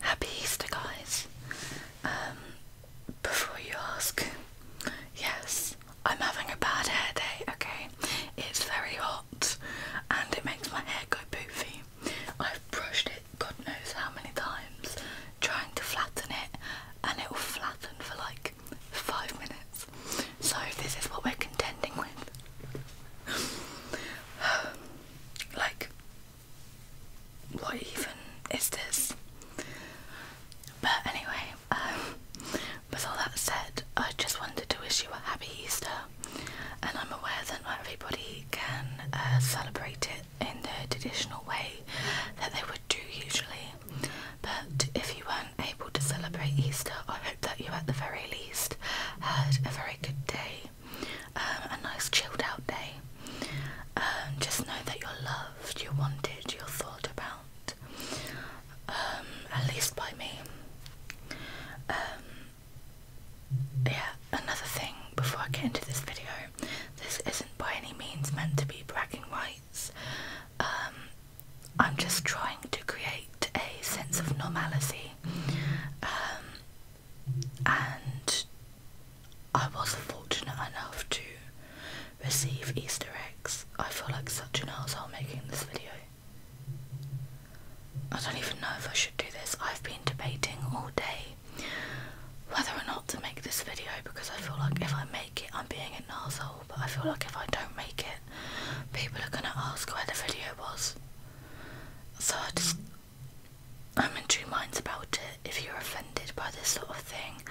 Happy Easter, guys. Um, before you ask, yes, I'm having a bad hair day, okay? It's very hot and it makes my hair go poofy. I've brushed it god knows how many times trying to flatten it and it will flatten for like five minutes. So this is what we're contending with. like what even is this? But anyway, um, with all that said, I just wanted to wish you a happy Easter, and I'm aware that not everybody can uh, celebrate it in the traditional way that they would do usually. But if you weren't able to celebrate Easter, I hope that you, at the very least, had a very good day a nice chilled out day. Um, just know that you're loved, you're wanted, you're thought about, um, at least by me. Um, yeah, another thing before I get into this video, this isn't by any means meant to be bragging rights. Um, I'm just trying to create a sense of normality and I wasn't fortunate enough to receive Easter eggs. I feel like such an asshole making this video. I don't even know if I should do this. I've been debating all day whether or not to make this video because I feel like if I make it, I'm being an asshole. But I feel like if I don't make it, people are gonna ask where the video was. So I just I'm in two minds about it. If you're offended by this sort of thing,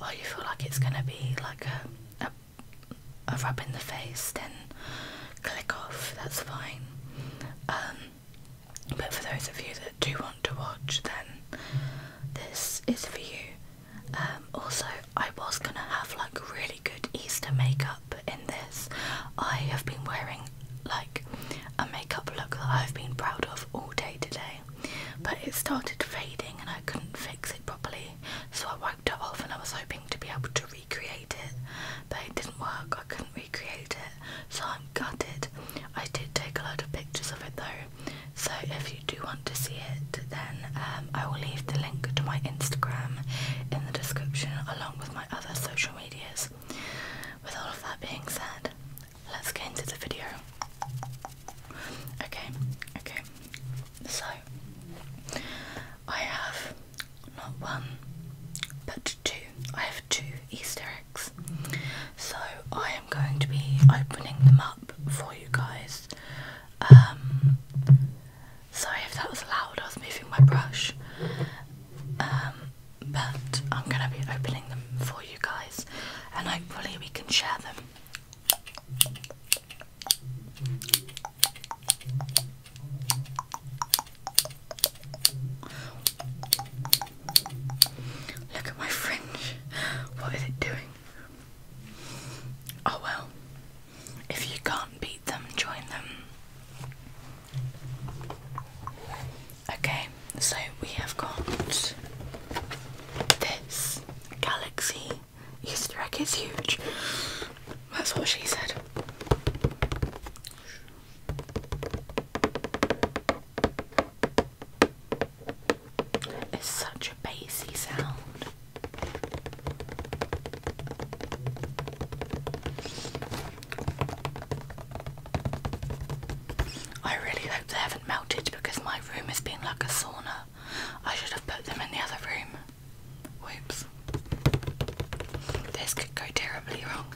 or you feel like it's gonna be like a a, a rub in the face, then click off. That's fine. Um, but for those of you that do want to watch, then this is for you. Um, also, I was gonna have like really good Easter makeup in this. I have been wearing like a makeup look that I've been proud of all day today. But it started fading and I couldn't fix it properly, so I wiped it off and I was hoping to be able to recreate it. But it didn't work, I couldn't recreate it, so I'm gutted. I did take a lot of pictures of it though, so if you do want to see it, then um, I will leave the link to my Instagram in the description along with my other social medias. With all of that being said, let's get into the video. Okay, okay. So, I have not one, but two. I have two Easter eggs. So, I am going to be opening them up for you guys. Um, sorry if that was loud, I was moving my brush. Um, but I'm gonna be opening them for you guys, and hopefully, we can share them. Look at my fringe. What is it doing? Oh well. If you can't beat them, join them. Okay, so we have got this galaxy Easter egg is huge. That's what she said. It's such a bassy sound. I really hope they haven't melted because my room has been like a sauna. I should have put them in the other room. Whoops. This could go terribly wrong.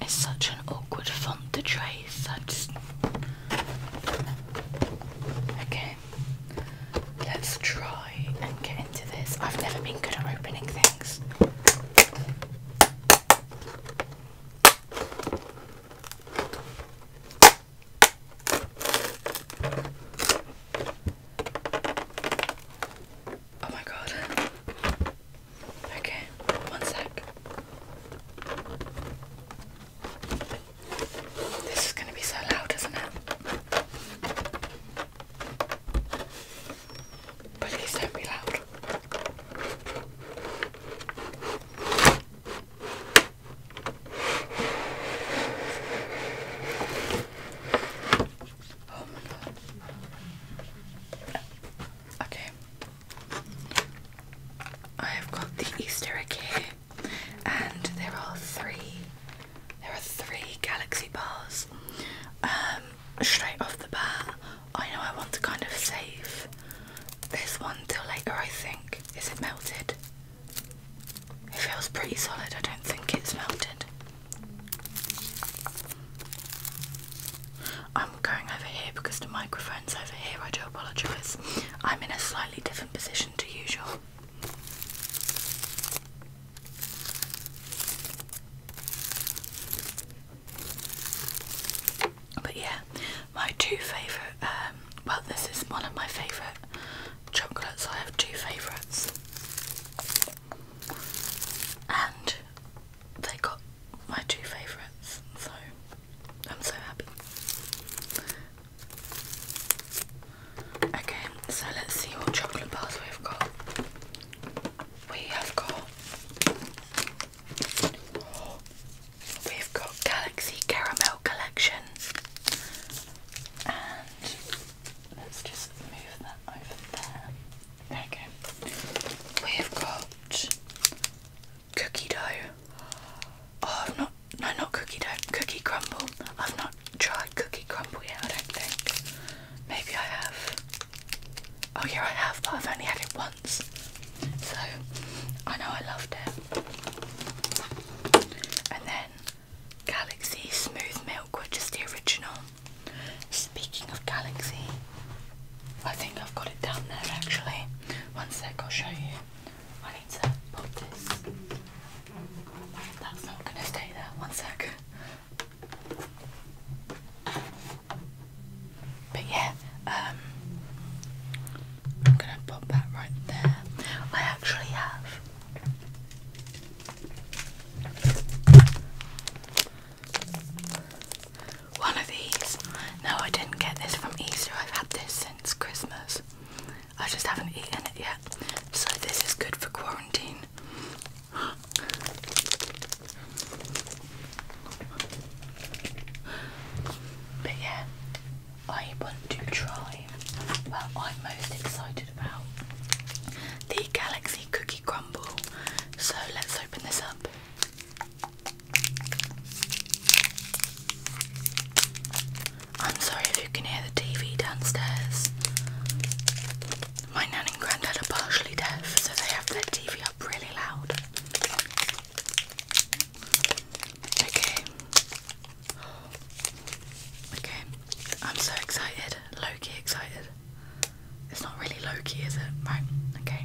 It's such an awkward font to trace. I just okay. Let's try and get into this. I've never been good at opening things. Oh my god. Okay, one sec. This is going to be so loud, isn't it? Please don't be loud. Okay. I have got the Easter egg here, and there are three. There are three galaxy bars. Um, straight off the bat, I know I want to kind of save this one till later. I think. Is it melted? It feels pretty solid, I don't think it's melted. I'm going over here because the microphone's over here, I do apologise. I'm in a slightly different position to usual. But yeah, my two favourite, um, well, this is one of my favourite chocolates. I have two favourites, and they got my two favourites, so I'm so happy. Okay, so let's see what chocolate bars we've got. We have got. We've got Galaxy Caramel Collection and Let's just move that over there. There we have got cookie dough. Oh, I've not, no, not cookie dough, cookie crumble. I've not tried cookie crumble yet, I don't think. Maybe I have. Oh, yeah, I have, but I've only had it once. So I know I loved it. And then Galaxy Smooth Milk, which is the original. Speaking of Galaxy, I think I've got it down there actually. One sec, I'll show you. I need to pop this. That's not going to stay there. One sec. But yeah, um, I'm going to pop that right there. I actually have one of these. No, I didn't get this from Easter. I've had this since Christmas. I just haven't eaten it yet. So this is good for quarantine. But yeah, I want to try well, I'm most excited about the Galaxy Cookie Crumble. So let's open this up. I'm sorry if you can hear the TV downstairs. My nan and granddad are partially deaf, so they have their TV up really loud. Okay, Okay, I'm so excited, Loki, excited. It's not really Loki, is it? Right, okay.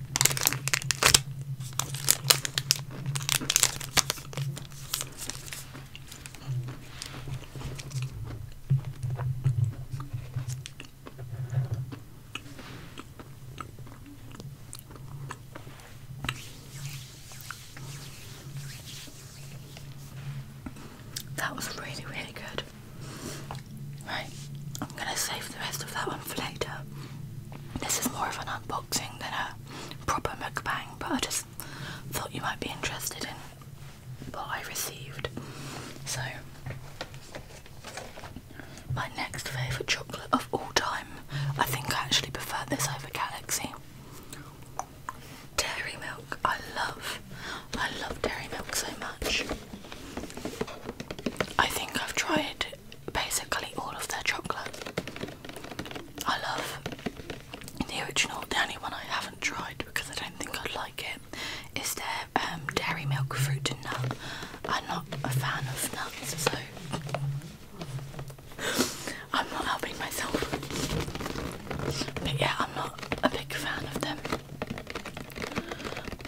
That was really, really good. Right, I'm gonna save the rest of that one for later. This is more of an unboxing than a proper mukbang, but I just thought you might be interested in what I received. So, my next favourite chocolate of all time, I think I actually prefer this over Galaxy. Dairy milk, I love. I love dairy milk so much. I think I've tried basically all of their chocolate. I love the original. The only one I haven't tried because I don't think I'd like it is their um, dairy milk fruit and nut. I'm not a fan of nuts, so I'm not helping myself. But yeah, I'm not a big fan of them.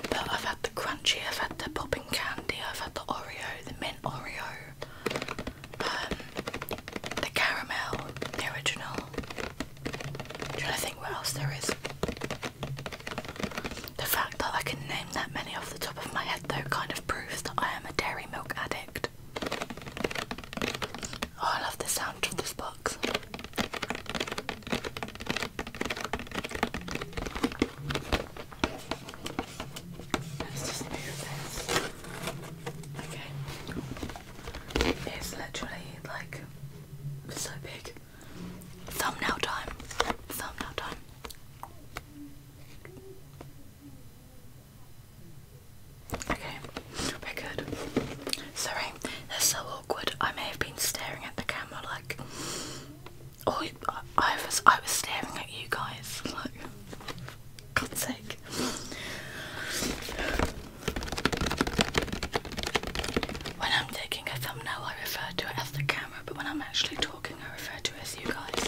But I've had the crunchy, I've had the popping candy, I've had the Oreo, the mint Oreo, um, the caramel, the original. I'm trying to think what else there is. The fact that I can name that many off the top of my head though kind of proves that I am a dairy milk addict. Oh, I love the sound of this box let just move Okay. It's literally like so big. Thumbnail time. Thumbnail time. Okay, we're good. Sorry, that's so awkward. I may have been staring at the camera like Oh, I was I was staring at you guys. Like, God's sake. When I'm taking a thumbnail, I refer to it as the camera, but when I'm actually talking, I refer to it as you guys.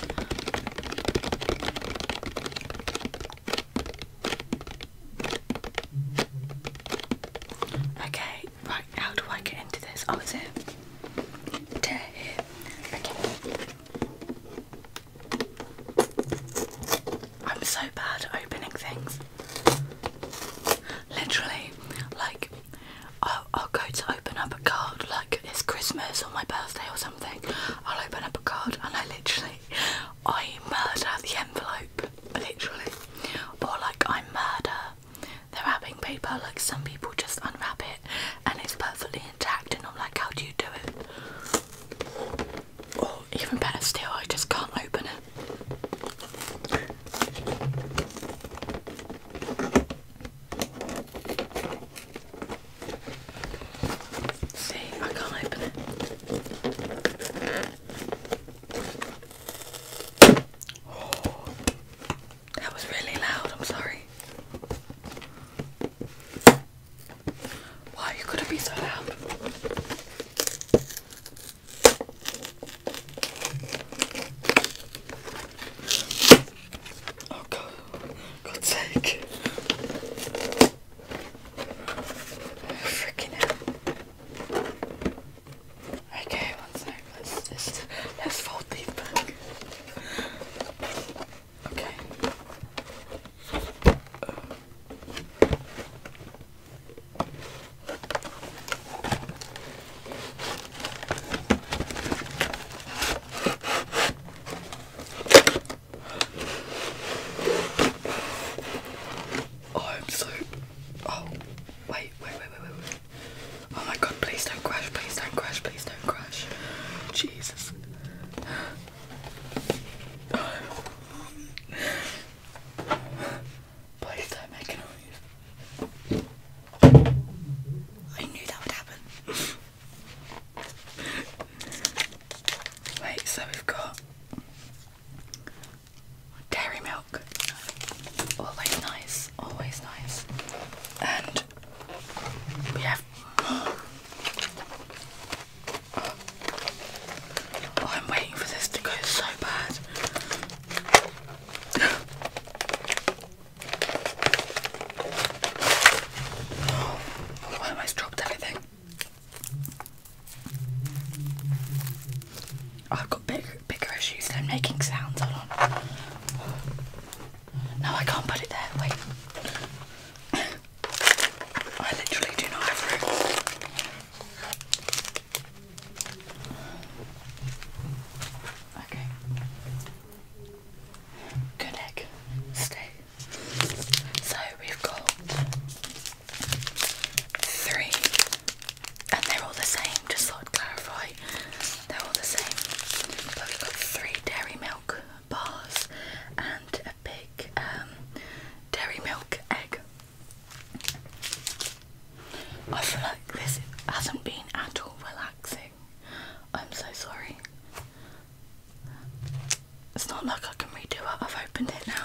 Okay, right how do I get into this? Oh, is it? Tear here. Okay. I'm so bad at opening things. Literally, like, I'll go to open up a card, like it's Christmas or my birthday or something. I'll open up a card and I literally, I murder the envelope, literally. Or like I murder the wrapping paper. Like some people just unwrap it and it's perfectly intact, and I'm like, how do you do it? Or even better still, I just can't open it. See, I can't open it that was really loud, I'm sorry. Why you gotta be so loud? Oh God, God's sake. Freaking out. Okay, one sec. Let's just let's fold these back. Okay. Oh, I'm so. Oh, wait, wait, wait, wait, wait. Oh my god, please don't crash, please don't crash, please don't crash. Jesus. Please don't make noise. I knew that would happen. Wait, so we've got Dairy milk. Always nice, always nice. And yeah. Oh, I'm waiting for this to go so bad. Oh, I dropped everything. I've got bigger issues than making sounds. Hold on. No, I can't put it there. Wait. I literally do not have room. Okay. Good egg. Stay. So we've got three, and they're all the same, just thought i clarify. They're all the same. But we've got three dairy milk bars and a big um, dairy milk egg. I feel like this hasn't been at all relaxing. I'm so sorry. It's not like I can redo it, I've opened it now.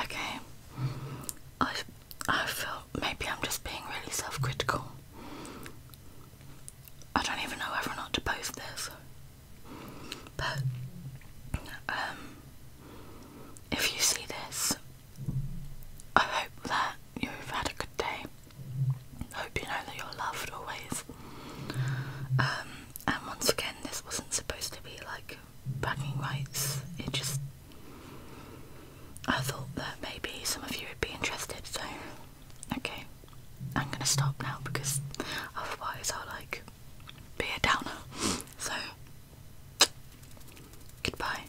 Okay, I I feel maybe I'm just being really self-critical. I don't even know whether or not to post this, but um, if you see this I hope that you've had a good day. hope you know that you're loved always. Um, and once again, this wasn't supposed to be like bragging rights. It just. I thought that maybe some of you would be interested, so. Okay. I'm gonna stop now because otherwise I'll like be a downer. So. Goodbye.